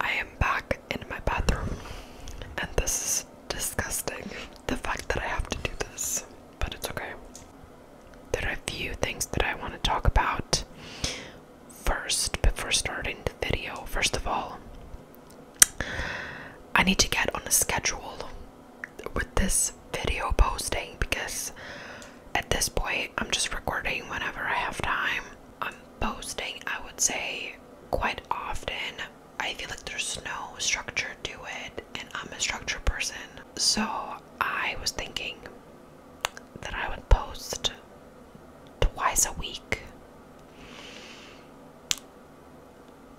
I am back in my bathroom, and this is disgusting. The fact that I have to do this, but it's okay. There are a few things that I want to talk about first before starting the video. First of all, I need to get on a schedule with this video posting because at this point, I'm just recording whenever I have time. I'm posting, I would say, quite often. I feel like there's no structure to it, and I'm a structure person. So I was thinking that I would post twice a week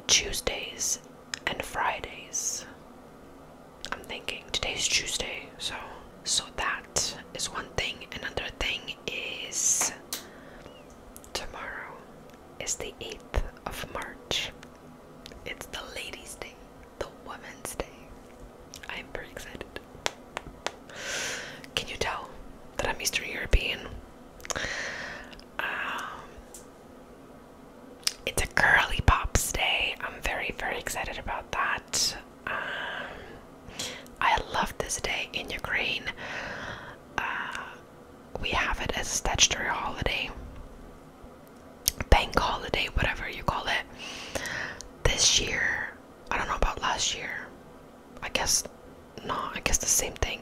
Tuesdays and Fridays. I'm thinking today's Tuesday, so so that is one thing. Another thing is tomorrow is the 8th of March. It's the ladies' day, the women's day. I'm very excited. Can you tell that I'm Eastern European? Um, it's a girly pops day. I'm very, very excited about that. Um, I love this day in Ukraine. Uh, we have it as a statutory holiday, bank holiday, whatever you call it. This year, I don't know about last year. I guess no, I guess the same thing.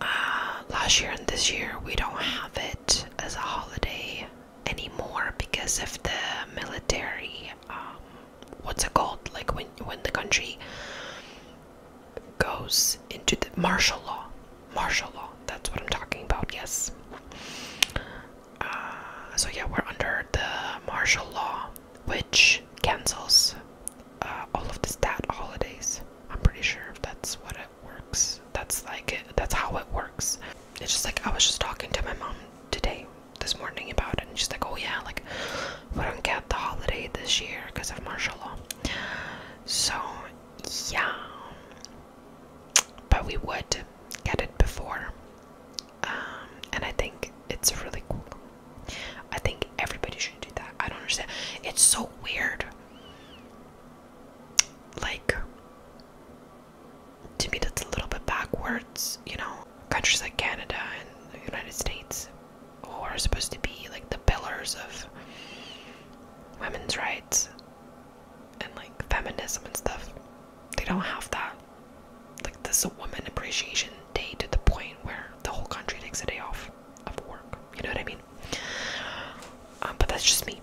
Uh, last year and this year, we don't have it as a holiday anymore because of the military um, what's it called? Like when when the country goes into the martial law, martial law. That's what I'm talking about. Yes. Uh, so yeah, we're under the martial law, which cancels uh, all of the stat holidays. I'm pretty sure if that's what it works. That's like that's how it works. It's just like I was just talking to my mom today this morning about it, and she's like, "Oh yeah, like we don't get the holiday this year because of martial law." So yeah, but we would get it before, um, and I think it's really cool. I think everybody should do that. I don't understand. It's so weird. Like to me, that's a little bit backwards, you know countries like Canada and the United States, who are supposed to be like the pillars of women's rights and like feminism and stuff, they don't have that. Like, this is a Women Appreciation Day to the point where the whole country takes a day off of work. You know what I mean? Um, but that's just me.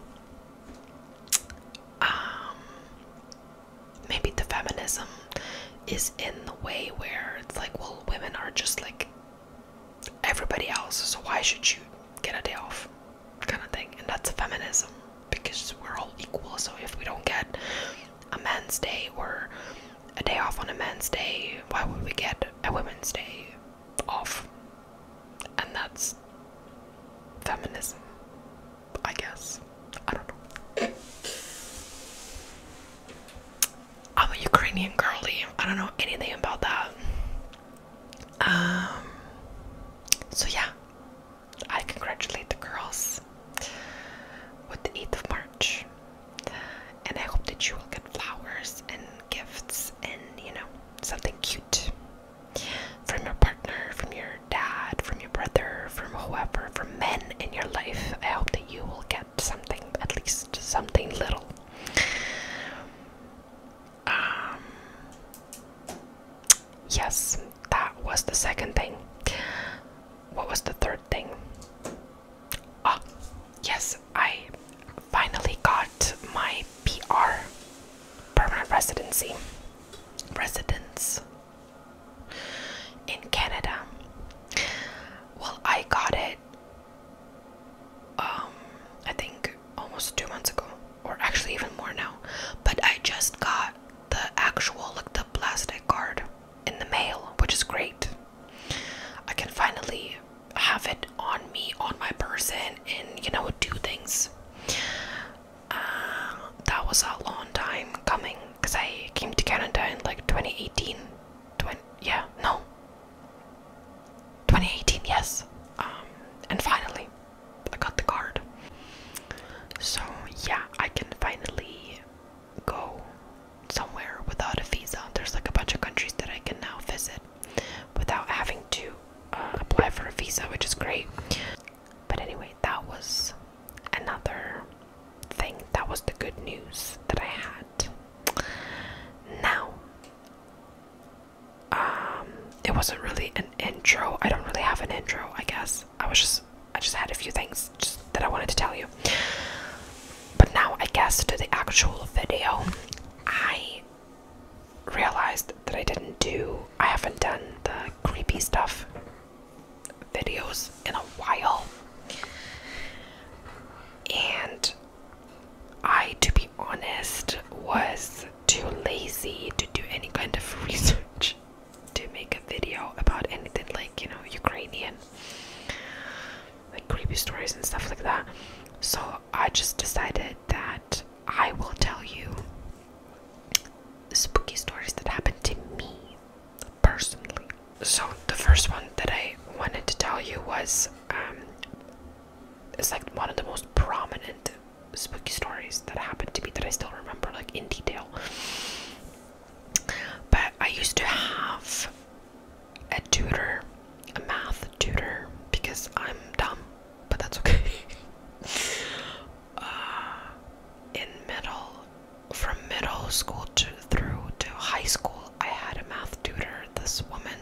Um, maybe the feminism is in the way where it's like, well, women are just like everybody else, so why should you get a day off? Kind of thing. And that's feminism because we're all equal. So if we don't get a man's day or a day off on a man's day, why would we get a women's day off? And that's feminism. I guess. I don't know. I'm a Ukrainian girly. I don't know anything about that. Um so yeah. I congratulate the girls with the 8th of March. And I hope that you will get flowers and gifts and you know something cute from your partner, from your dad, from your brother, from whoever, from men in your life. I hope that you will get something, at least something little. Um, yes, that was the second thing. What was the third thing? Ah, yes, I finally got my PR, permanent residency. Residence in Canada. Well, I got it. Um, I think almost two months ago, or actually even more now. But I just got the actual, like the plastic card in the mail, which is great. I can finally have it on me, on my person, and you know, do things. Um, that was a long time coming because I came to Canada in like 2018. 20, yeah, no. 2018, yes. Um, and finally, I got the card. So, yeah, I can finally go somewhere without a visa. There's like a bunch of countries that I can now visit without having to uh, apply for a visa, which is great. But anyway, that was another thing. That was the good news that I had. Now, um, it wasn't really an intro. I don't really have an intro, I guess. I was just, I just had a few things that I wanted to tell you. But now, I guess, to the actual video, I realized that I didn't do. I haven't done the creepy stuff videos in a while. And I, to be honest, was too lazy to do any kind of research to make a video about anything like, you know, Ukrainian, like creepy stories and stuff like that. So I just decided that I will tell you spooky stories that happened to me personally. So, the first one that I wanted to tell you was um, it's like one of the most prominent spooky stories that happened to me that I still remember, like in detail. But I used to have a tutor, a math tutor, because I'm dumb, but that's okay. uh, in middle, from middle school to through to high school, I had a math tutor. This woman.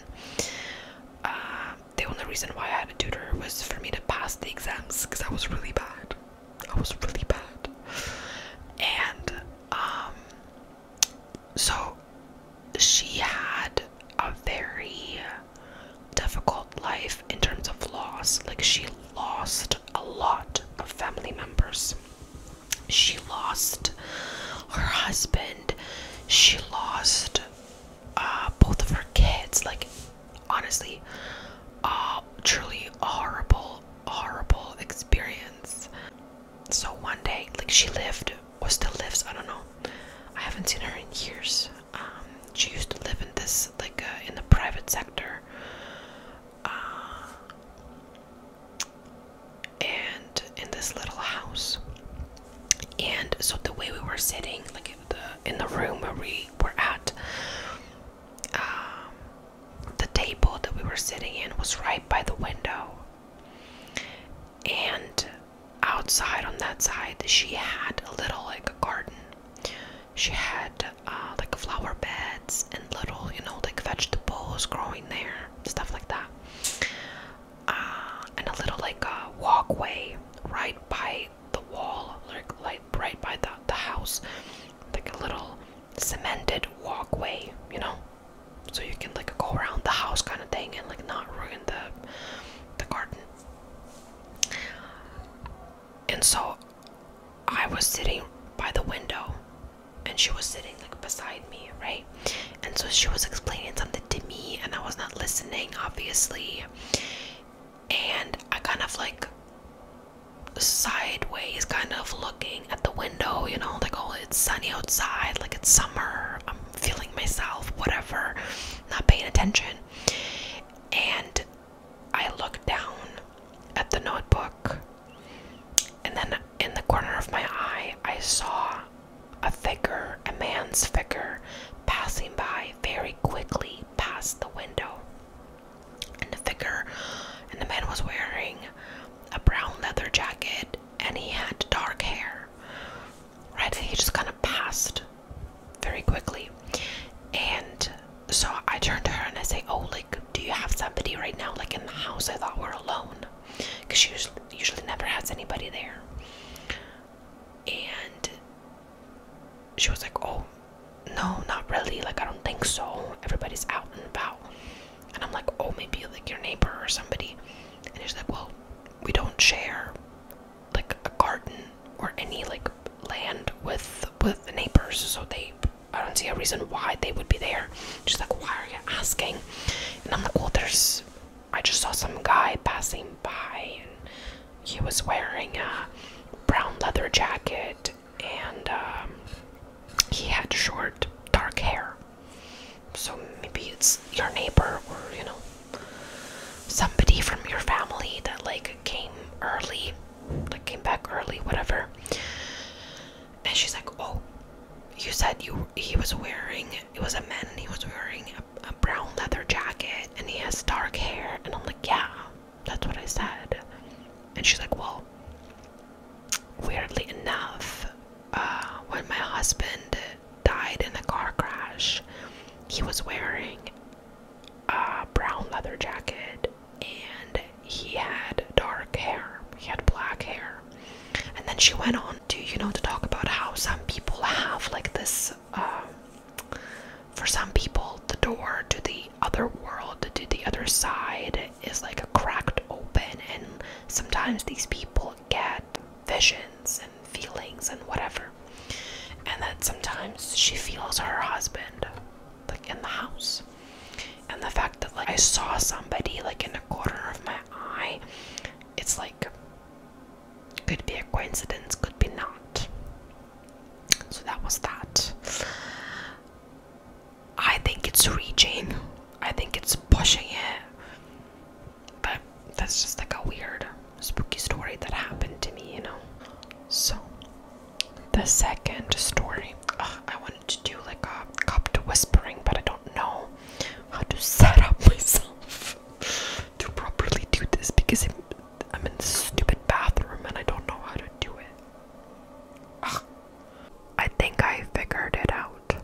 Uh, the only reason why I had a tutor was for me to pass the exams because I was really bad. I was really bad, and um, so she had a very difficult life in terms of loss. Like, she lost a lot of family members. She lost her husband. She lost uh, both of her kids. Like, honestly, truly horrible, horrible experience. So, one day, like, she lived or still lives, I don't know. I haven't seen her in years. Um, she used to live in this, like, uh, in the private sector. Uh, and in this little house. And so the way we were sitting, like in the, in the room where we were at, um, the table that we were sitting in was right by the window. And outside on that side, she had a little like a garden. She had uh, like flower beds and little, you know, like vegetables growing there, stuff like that. Uh, and a little like a walkway right by the wall, like, like right by the, the house, like a little cemented walkway, you know, so you can like go around the house kind of thing and like not ruin the the garden. And so I was sitting by the window and she was sitting like beside me, right? And so she was explaining something to me and I was not listening, obviously. And I kind of like sideways kind of looking at the window, you know, like oh it's sunny outside, like it's summer, I'm feeling myself, whatever not paying attention. And I looked down at the notebook, and then in the corner of my eye, I saw a figure, a man's figure, passing by very quickly past the window. And the figure, and the man was wearing a brown leather jacket, and he had dark hair right? He just kind of passed very quickly. And so I turn to her and I say, Oh, like, do you have somebody right now, like in the house? I thought we're alone because she usually, never has anybody there. And she was like, Oh, no, not really. Like, I don't think so. Everybody's out and about. And I'm like, Oh, maybe like your neighbor or somebody. And she's like, Well, we don't share like a garden or any like land with with the neighbors so they i don't see a reason why they would be there she's like why are you asking and i'm like well there's i just saw some guy passing by and he was wearing a brown leather jacket and um, he had short dark hair so maybe it's your neighbor or you know somebody from your family that like came early, like came back early, whatever. And she's like, "Oh, you said you he was wearing it was a man and he was wearing a, brown leather jacket and he has dark hair." And I'm like, "Yeah, that's what I said." And she's like, "Well, weirdly enough, uh, when my husband died in a car crash. He was wearing a brown leather jacket and he had dark hair. He had black hair. And then she went on to, you know, to talk about how some people have like this. Um, for some people, the door to the other world, to the other side, is like a cracked open, and sometimes these people get visions and feelings and whatever. And that sometimes she feels her husband like in the house. And the fact that like I saw somebody like in a corner of my eye, it's like could be a coincidence, could be not. So that was that. I think it's reaching. I think it's pushing it. But that's just like a weird, spooky story that happened to me, you know? So, the second story. I wanted to do like a cup to whispering, but I don't know how to set up myself to properly do this because I'm in this stupid bathroom and I don't know how to do it. I think I figured it out.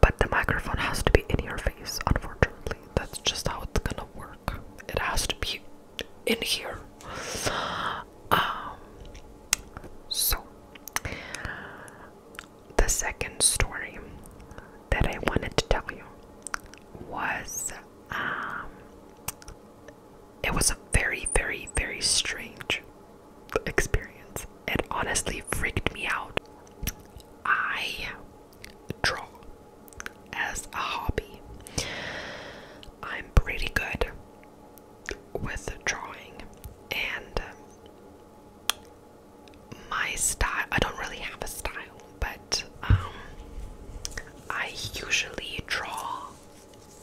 But the microphone has to be in your face, unfortunately. That's just how it's gonna work. It has to be in here. Um, so, the second story that I wanted to tell you was um, it was a very, very, very strange experience it honestly freaked me out. I draw as a hobby. I'm pretty good with drawing and um, my style I don't really have a style but um, I usually draw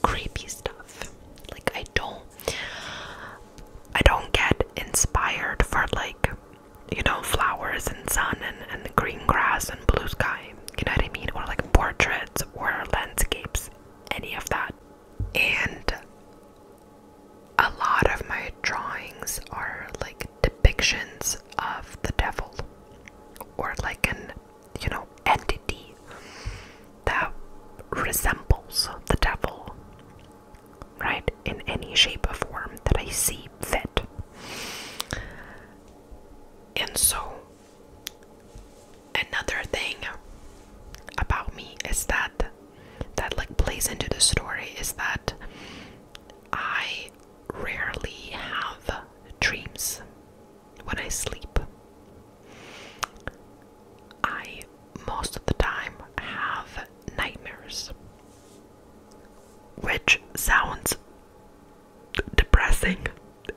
creepy stuff like I don't I don't get inspired for like you know flowers and sun and, green grass and blue sky you know what I mean or like portraits or landscapes any of that and a lot of my drawings are like depictions of the devil or like an you know entity that resembles the devil right? In any shape or form that I see fit. And so, another thing about me is that that like plays into the story is that I rarely have dreams when I sleep. I most of the time have nightmares, which sounds depressing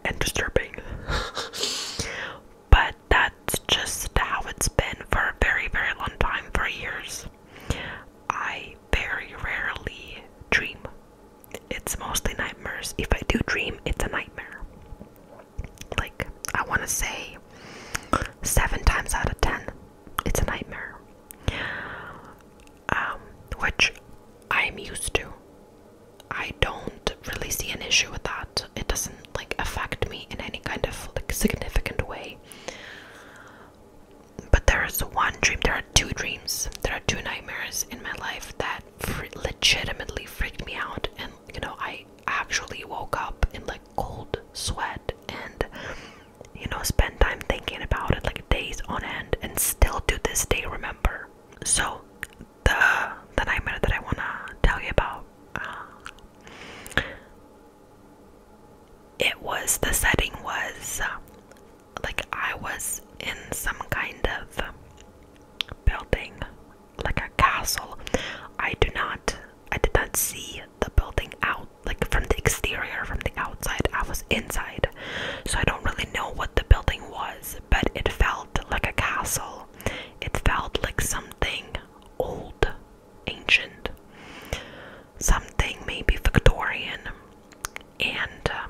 and disturbing, but that's just how it's been for a very, very long time for years. I very rarely dream. It's mostly nightmares. If I do dream, it's a nightmare. Like I want to say seven times out of ten, it's a nightmare. Um, which I'm used to. I don't really see an issue with that. It doesn't like affect me in any kind of like significant way. But there is one dream. There are two dreams. There are two nightmares in my life that legitimately freaked me out, and you know I actually woke up in like cold sweat and you know spend time thinking about it like days on end and still to this day remember so the the nightmare that i want to tell you about uh, it was the setting was uh, like i was in some kind of building like a castle. I do not, I did not see the building out, like from the exterior, from the outside. I was inside, so I don't really know what the building was, but it felt like a castle. It felt like something old, ancient, something maybe Victorian, and uh,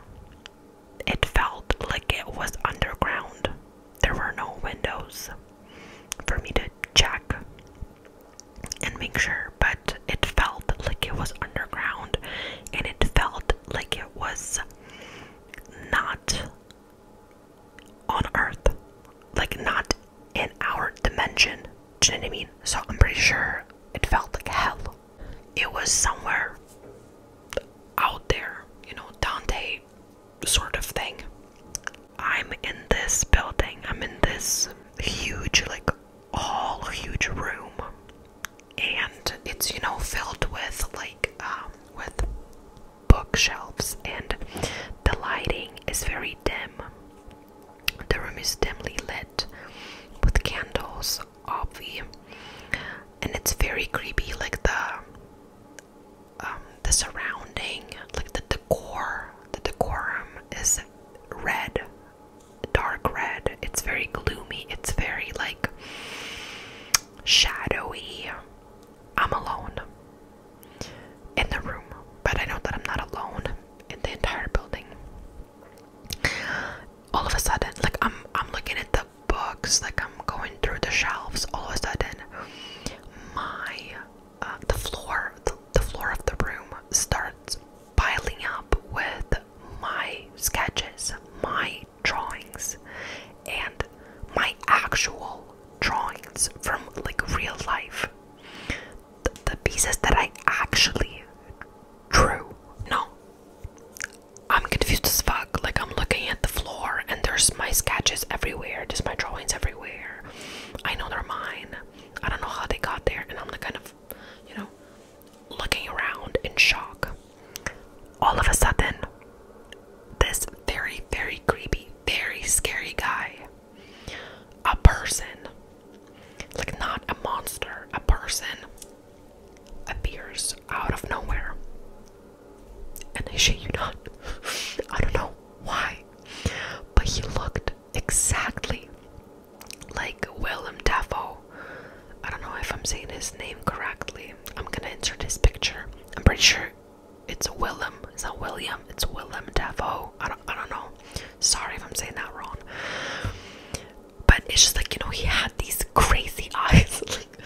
it felt like it was underground there were no windows for me to check and make sure, but it felt like it was underground and it felt like it was not on Earth, like not in our dimension. Do you know what I mean? So I'm pretty sure it felt like hell. It was somewhere out there, you know. Dante sort of thing. I'm in this building, I'm in this huge, like, all huge room, and it's, you know, filled with, like, um, with bookshelves, and the lighting is very dim. The room is dimly lit with candles, obvi, and it's very creepy, like, the um, the surrounding, like the decor, the decorum is red, dark red. It's very gloomy. It's very like shadowy. I'm alone in the room, but I know that I'm not alone in the entire building. All of a sudden, like I'm, I'm looking at the books, like I'm going through the shelves. All of a sudden, my uh, the floor the, floor of the room starts piling up with my sketches, my drawings, and my actual drawings from like real life. the pieces that I actually drew. No, I'm confused as fuck. Like, I'm looking at the floor and there's my sketches everywhere, just my drawings everywhere. I know they're mine. I don't know how they got there, and I'm like kind of, you know, looking around in shock. All of a sudden, this very, very creepy, very scary guy, a person, like not a monster, a person, appears out of nowhere. And I shit you not. I don't know why. But he looked exactly like Willem Dafoe. I don't know if I'm saying his name correctly. I'm gonna insert his picture. I'm pretty sure it's Willem. It's not William. It's Willem Dafoe. I don't, I don't know. Sorry if I'm saying that wrong. But it's just like, you know, he had these crazy eyes. like,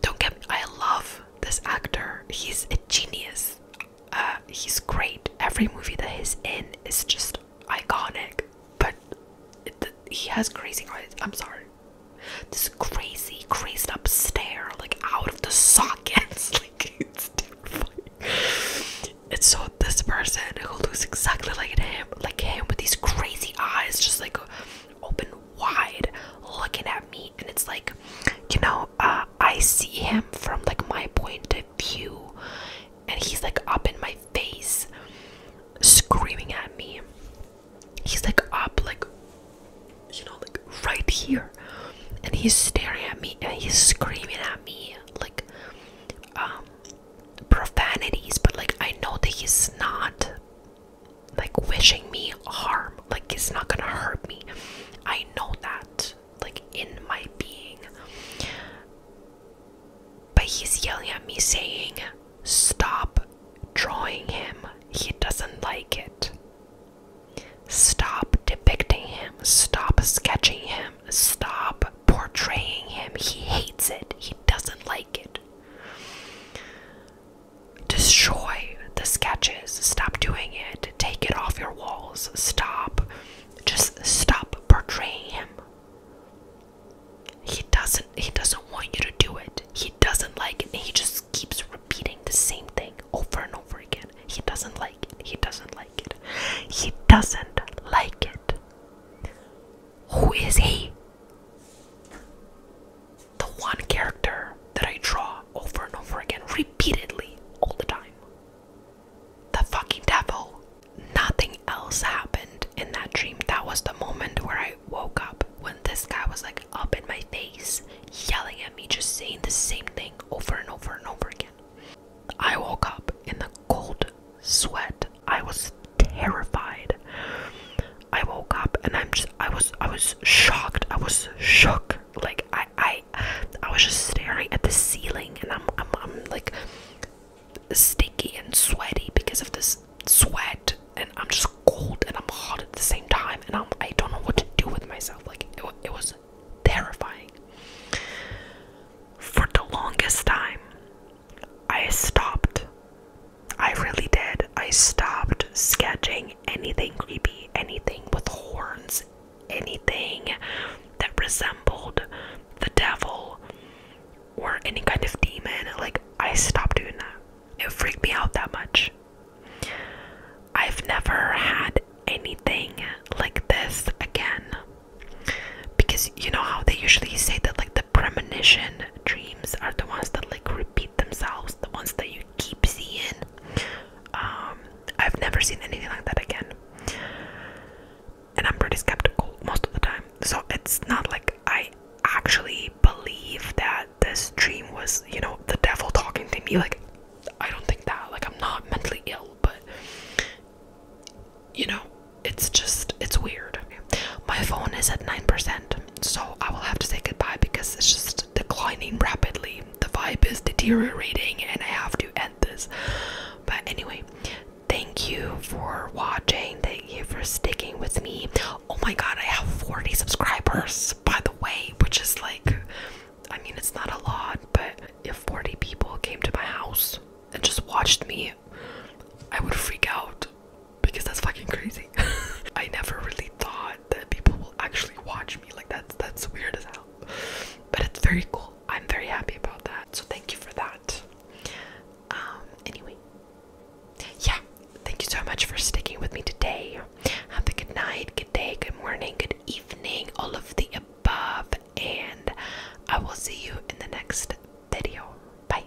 don't get me. I love this actor. He's a genius. Uh, he's great. Every movie that he's in is just iconic. But he has crazy eyes. I'm sorry. This crazy, crazed up stare, like out of the sockets. like it's terrifying. And so this person who looks exactly like him, like him with these crazy eyes, just like open wide, looking at me and it's like you know uh, i see him from like my point of view and he's like up in my face screaming at me he's like up like you know like right here and he's staring at me and he's screaming at me like um, profanities but like i know that he's not like wishing me harm. Like it's not gonna hurt me. I know that, like in my being. But he's yelling at me saying, Stop drawing him. He doesn't like it. Stop depicting him. Stop sketching him. Stop portraying him. He hates it. He doesn't like it destroy the sketches. Stop doing it. Take it off your walls. Stop. Just stop portraying him. He doesn't he doesn't want you to do it. He doesn't like it. he just keeps repeating the same thing over and over again. He doesn't like it. He doesn't like it. He doesn't like it. Who is he? the one character that I draw over and over again, repeatedly, all the time. The fucking devil. Nothing else happened in that dream. That was the moment where I woke up when this guy was like up in my face, yelling at me, just saying the same thing over and over and over again. I woke up in the cold sweat. I was terrified. I woke up and I'm just I was I was shocked. I was shook. Like I I I was just staring at the ceiling and I'm I'm I'm like sticky and sweaty because of this sweat and I'm just cold and I'm hot at the same time and I'm I don't know what to do with myself. Like it, it was terrifying. For the longest time I stopped I really did. I stopped sketching anything creepy, anything with horns, anything that resembled the devil or any kind of demon. Like, I stopped doing that. It freaked me out that much. I've never had anything like this again. Because you know how they usually say that, like, the premonition dreams are the ones that like repeat themselves, the ones that you keep seeing. Um, I've never seen anything like that again, and I'm pretty skeptical most of the time. So it's not like I actually believe that this dream was, you know, the devil talking to me. Like, I don't think that. Like, I'm not mentally ill, but you know, it's just it's weird. My phone is at nine percent so I will have to say goodbye because it's just declining rapidly. The vibe is deteriorating, and I have to end this. But anyway, thank you for watching. Thank you for sticking with me. Oh my god, I have 40 subscribers, by the way, which is like, I mean, it's not a lot, but if 40 people came to my house and just watched me, I would freak out because that's fucking crazy. I never really thought that people will actually watch me. Like that's that's weird as hell. But it's very cool. I'm very happy about that. So thank you for that. Um anyway. Yeah, thank you so much for sticking with me today. Have a good night, good day, good morning, good evening, all of the above, and I will see you in the next video. Bye.